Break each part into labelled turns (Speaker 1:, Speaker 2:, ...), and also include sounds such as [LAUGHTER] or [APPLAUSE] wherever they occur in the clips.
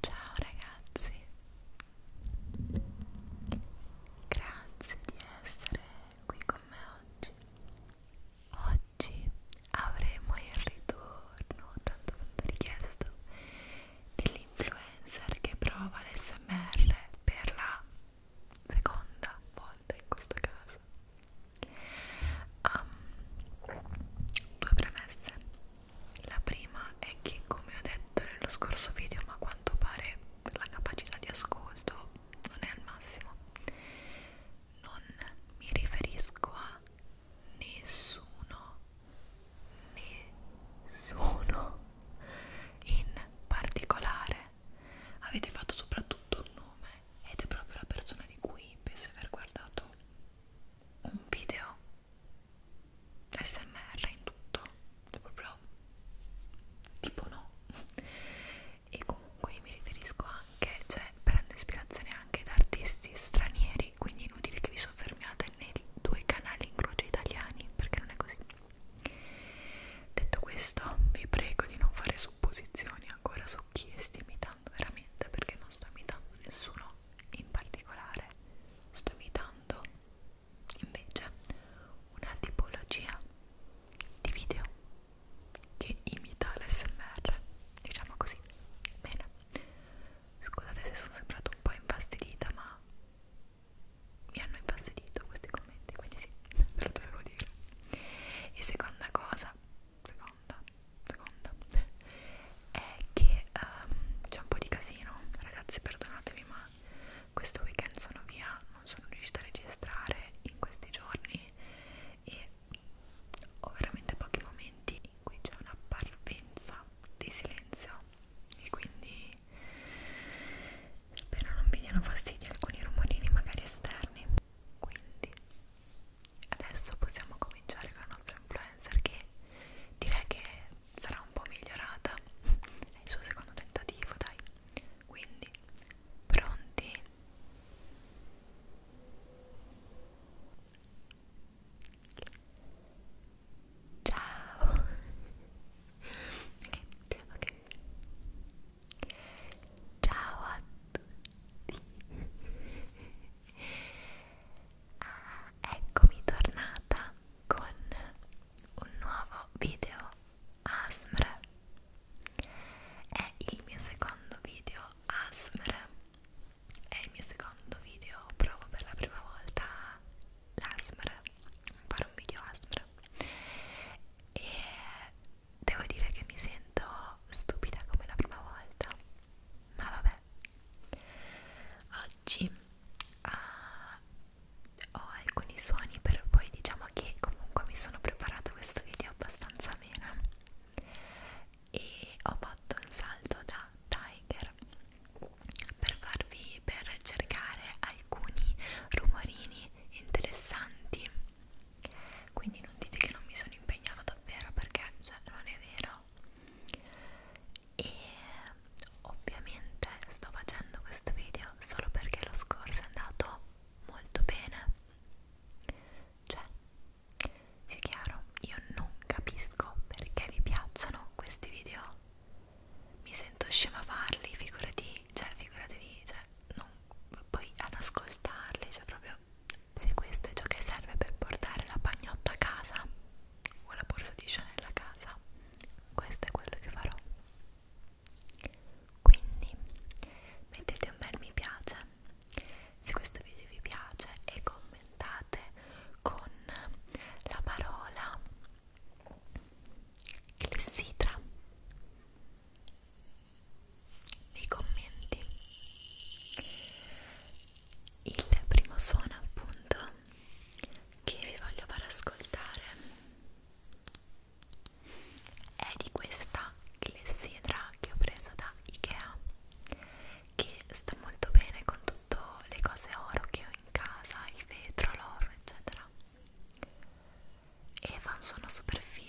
Speaker 1: Ciao ragazzi, grazie di essere qui con me oggi. Oggi avremo il ritorno tanto tanto richiesto dell'influencer che prova l'SMR per la seconda volta in questo caso. Um, due premesse la prima è che, come ho detto nello scorso video, ma a quanto pare la capacità di ascolto non è al massimo. Non mi riferisco a nessuno, nessuno in particolare. Avete fatto soprattutto un nome ed è proprio la persona di cui penso aver guardato un video smr in tutto proprio tipo no e comunque mi riferisco anche cioè prendo ispirazione anche da artisti stranieri quindi inutile che vi soffermiate nei due canali in croce italiani perché non è così detto questo vi prego di non fare supposizioni ancora su chi sti imitando veramente perché non sto imitando nessuno però in particolare sto evitando invece una tipologia di video che imita l'SMR, diciamo così. Bene, scusate se sono sembrato un po' infastidita, ma mi hanno infastidito questi commenti, quindi sì, [LAUGHS] ve lo dovevo dire. E seconda cosa, seconda, seconda [LAUGHS] è che um, c'è un po' di casino ragazzi perdonatemi ma questo weekend sono via non sono riuscita a registrare in questi giorni e ho veramente pochi momenti in cui c'è una parvenza di silenzio e quindi spero non vi diano fastidio alcuni rumorini magari esterni quindi adesso possiamo cominciare con la nostra influencer che direi che sarà un po' migliorata è il suo secondo tentativo dai quindi pronti ciao ok ok ciao a tutti ah, eccomi tornata con un nuovo video ASMR è il mio secondo video ASMR è il mio secondo video provo per la prima volta l'ASMR fare un video ASMR e devo dire che mi sento stupida come la prima volta ma vabbè caffè oggi uh, ho alcuni suoni però poi diciamo che comunque mi sono preparata questo video abbastanza bene e ho fatto il salto da Tiger per farvi per cercare alcuni rumorini interessanti quindi non dite che non mi sono impegnata davvero perché cioè, non è vero già e ovviamente sto facendo questo video solo perché lo scorso è andato molto bene cioè sia chiaro io non capisco perché vi piacciono questi video mi sento scema a farli figurati cioè figuratevi cioè non, poi ad ascoltarli cioè proprio proprio se questo è ciò che serve per portare la pagnotta a casa o la borsa di Chanel a casa questo è quello che farò quindi mettete un bel mi piace se questo video vi piace e commentate con la parola clessidra nei commenti il primo suono appunto che vi voglio far ascoltare è di questa clessidra che ho preso da Ikea che sta molto bene con tutte le cose oro che ho in casa, il vetro, l'oro eccetera e fa un suono super figo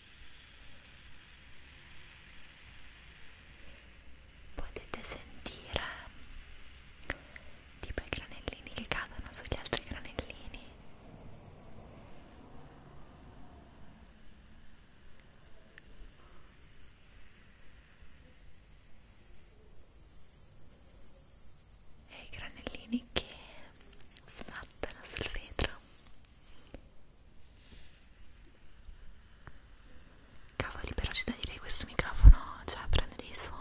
Speaker 1: potete sentire tipo i granellini che cadono sugli altri granellini e i granellini che smattano sul vetro Cavoli, però c'è da dire che questo microfono cioè, prende dei suoni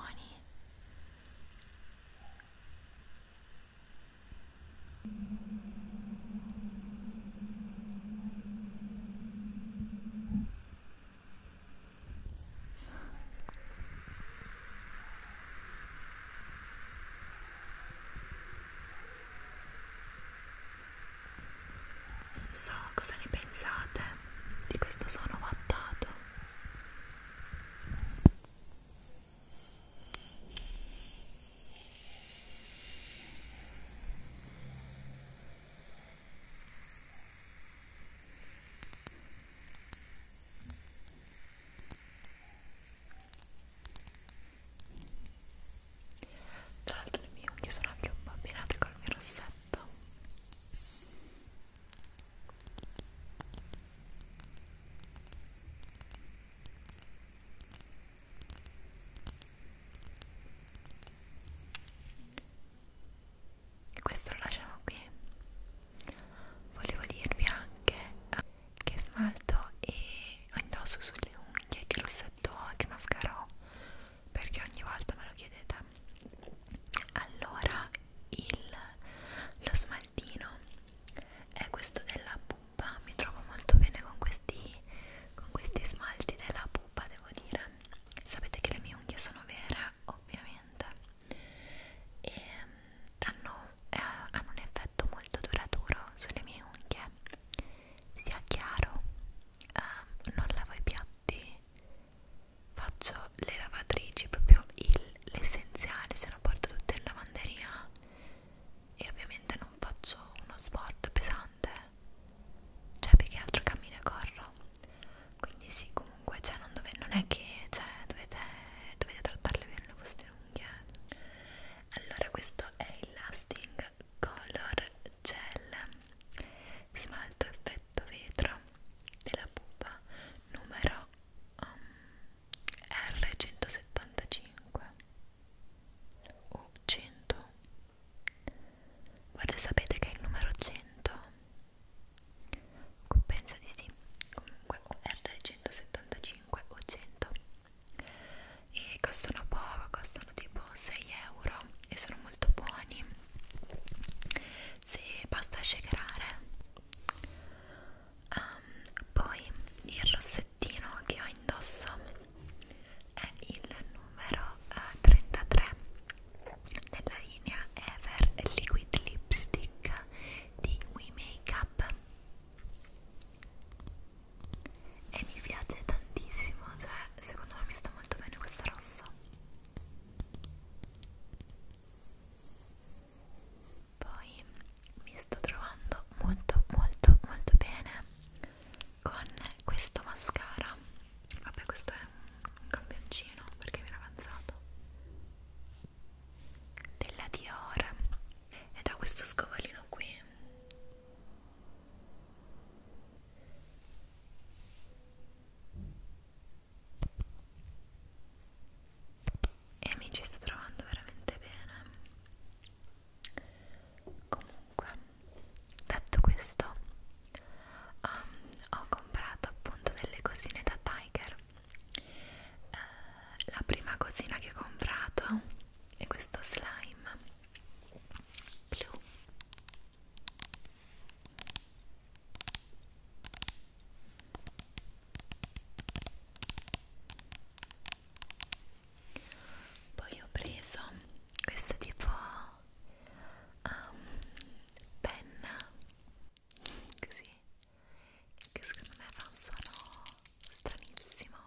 Speaker 1: non so cosa ne pensate di questo suono vattato tra l'altro le mie unghie sono anche un po' abbinate col mio rossetto questo lo lasciamo qui volevo dirvi anche ah, che smalto e indosso sulle unghie, che rossetto ho, che mascara ho perché ogni volta me lo chiedete allora il, lo smaltino è questo della pupa mi trovo molto bene con questi, con questi smalti della pupa devo dire sapete che le mie unghie sono vere ovviamente e hanno, eh, hanno un effetto effetto molto duraturo sulle mie unghie sia chiaro um, non lavo i piatti faccio le lavatrici proprio l'essenziale se no porto tutte in lavanderia e ovviamente non faccio uno sport pesante cioè perché altro cammino e corro quindi sì comunque cioè, non, dove, non è che cioè, dovete, dovete trattarle bene le vostre unghie allora questo è il Lasting Color Gel smalto effetto vetro della pupa numero um, R175 o 100 guarda sapete che è il numero 100 penso di sì comunque o R175 o 100 e costano poco, costano tipo 6 euro e sono molto buoni se basta shakerare um, ehm, poi il rossettino che ho indosso è il numero uh, eh, 33 della linea Ever Liquid Lipstick di We Makeup e mi piace tantissimo, cioè secondo me mi sta molto bene questa rossa. Poi mi sto trovando molto molto molto bene con questo mascara. Vabbè questo è un campioncino perché mi era avanzato della Dior ed ha questo scovolino qui e mi ci sto trovando veramente bene comunque detto questo um, ho comprato appunto delle cosine da Tiger eh, la prima cosina che ho comprato è questo slime blu poi ho preso questo tipo um, penna così che secondo me fa un suono stranissimo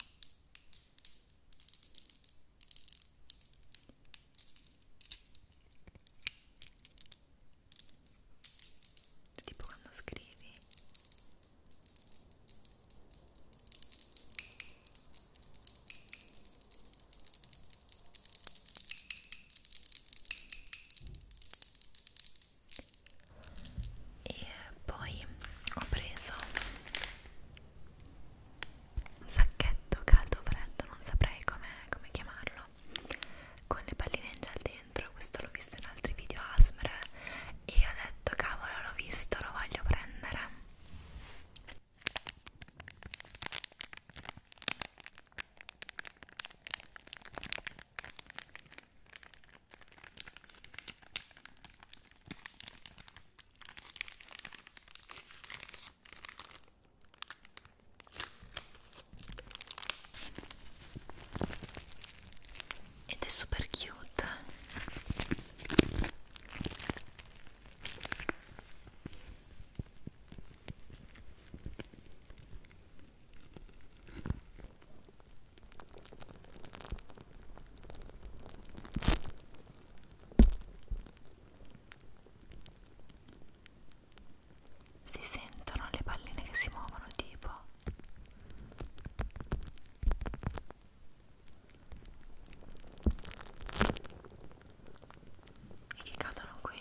Speaker 1: tipo quando scrivi e poi ho preso un sacchetto caldo o freddo, non saprei come com chiamarlo con le palline in gel dentro, questo l'ho visto in altri video ASMR e ho detto cavolo l'ho visto, lo voglio prendere ed è super cute si sentono le palline che si muovono tipo e che cadono qui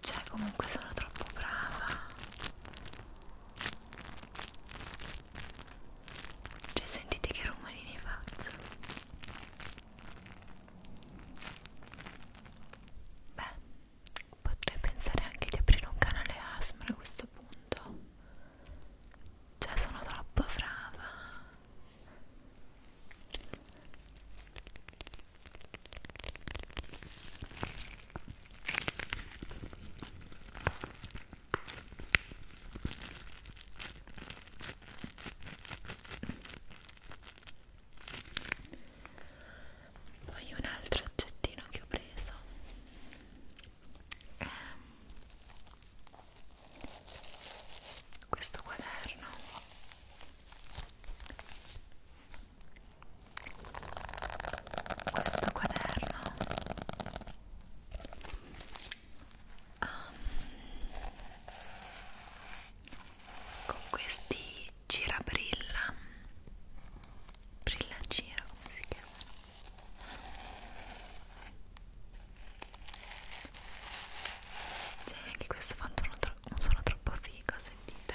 Speaker 1: Cioè comunque sono troppo brava Cioè sentite che rumorini faccio Beh, potrei pensare anche di aprire un canale ASMR a questo punto. Cioè, sono troppo brava poi un altro oggettino che ho preso è ehm, questo quaderno questo quaderno um, con questi girabrilla brilla gira come si chiama cioè anche questo fatto non, non sono troppo figo sentite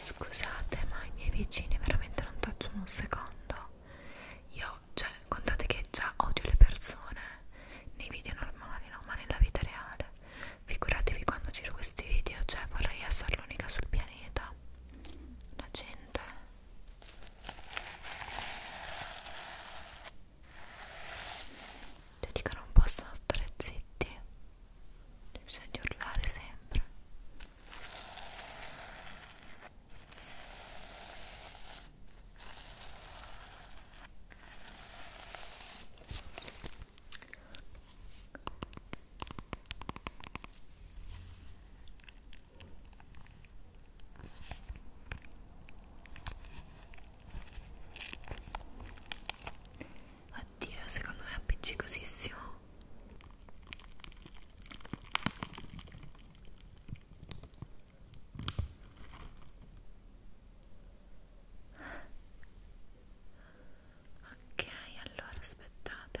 Speaker 1: Scusate, ma i miei vicini veramente non tacciono un secondo. Io, cioè, contate che già odio le persone nei video normali, no? Ma nella vita reale. Figuratevi quando giro questi video, cioè vorrei essere l'unica sul pianeta. La gente Vedi che non possono stare zitti, bisogna urlare sempre. Oddio, secondo me è appiccicosissimo. Ok, allora aspettate.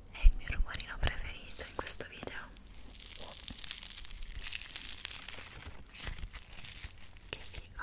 Speaker 1: è il mio rumorino preferito in questo video che figo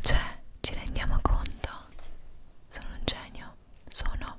Speaker 1: Cioè, ci rendiamo conto? Sono un genio, sono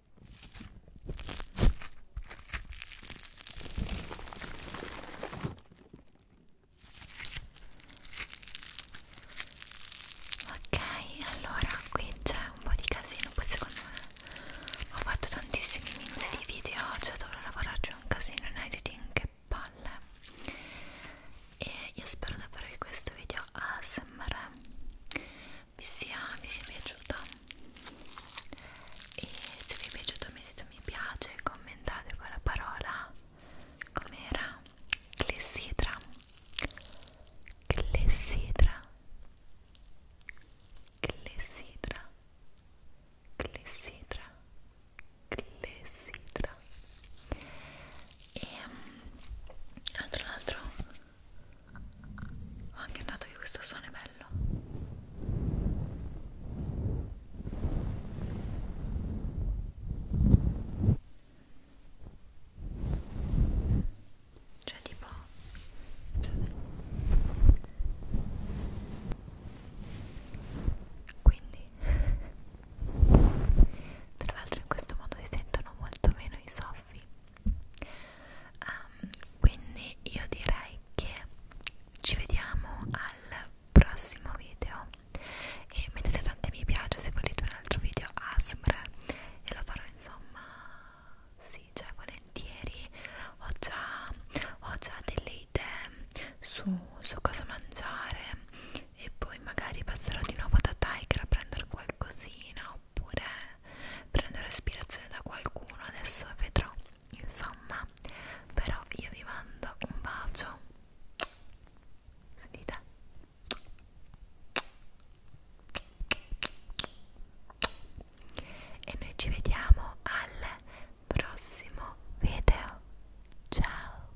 Speaker 1: Ok, allora qui c'è un po' di casino, poi secondo me ho fatto tantissimi minuti di video, cioè dovrò lavorarci un casino in editing, che palle. E io spero davvero che questo video ASMR vi sia, vi sia piaciuta e se vi è piaciuto mettete mi piace commentate con la parola com'era clessidra clessidra clessidra clessidra clessidra e um, tra l'altro ho anche notato che questo suono è bello. Cioè tipo... Quindi, tra l'altro in questo modo si sentono molto meno i soffi um, quindi io direi che ci vediamo al prossimo video e mettete tanti mi piace se volete un altro video ASMR e lo farò insomma sì cioè volentieri ho già, ho già delle idee su, su cosa mangiare e poi magari passerò di nuovo da Tiger a prendere qualcosina oppure prendere ispirazione da qualcuno adesso vedrò insomma però io vi mando un bacio sentite e noi ci vediamo al prossimo video ciao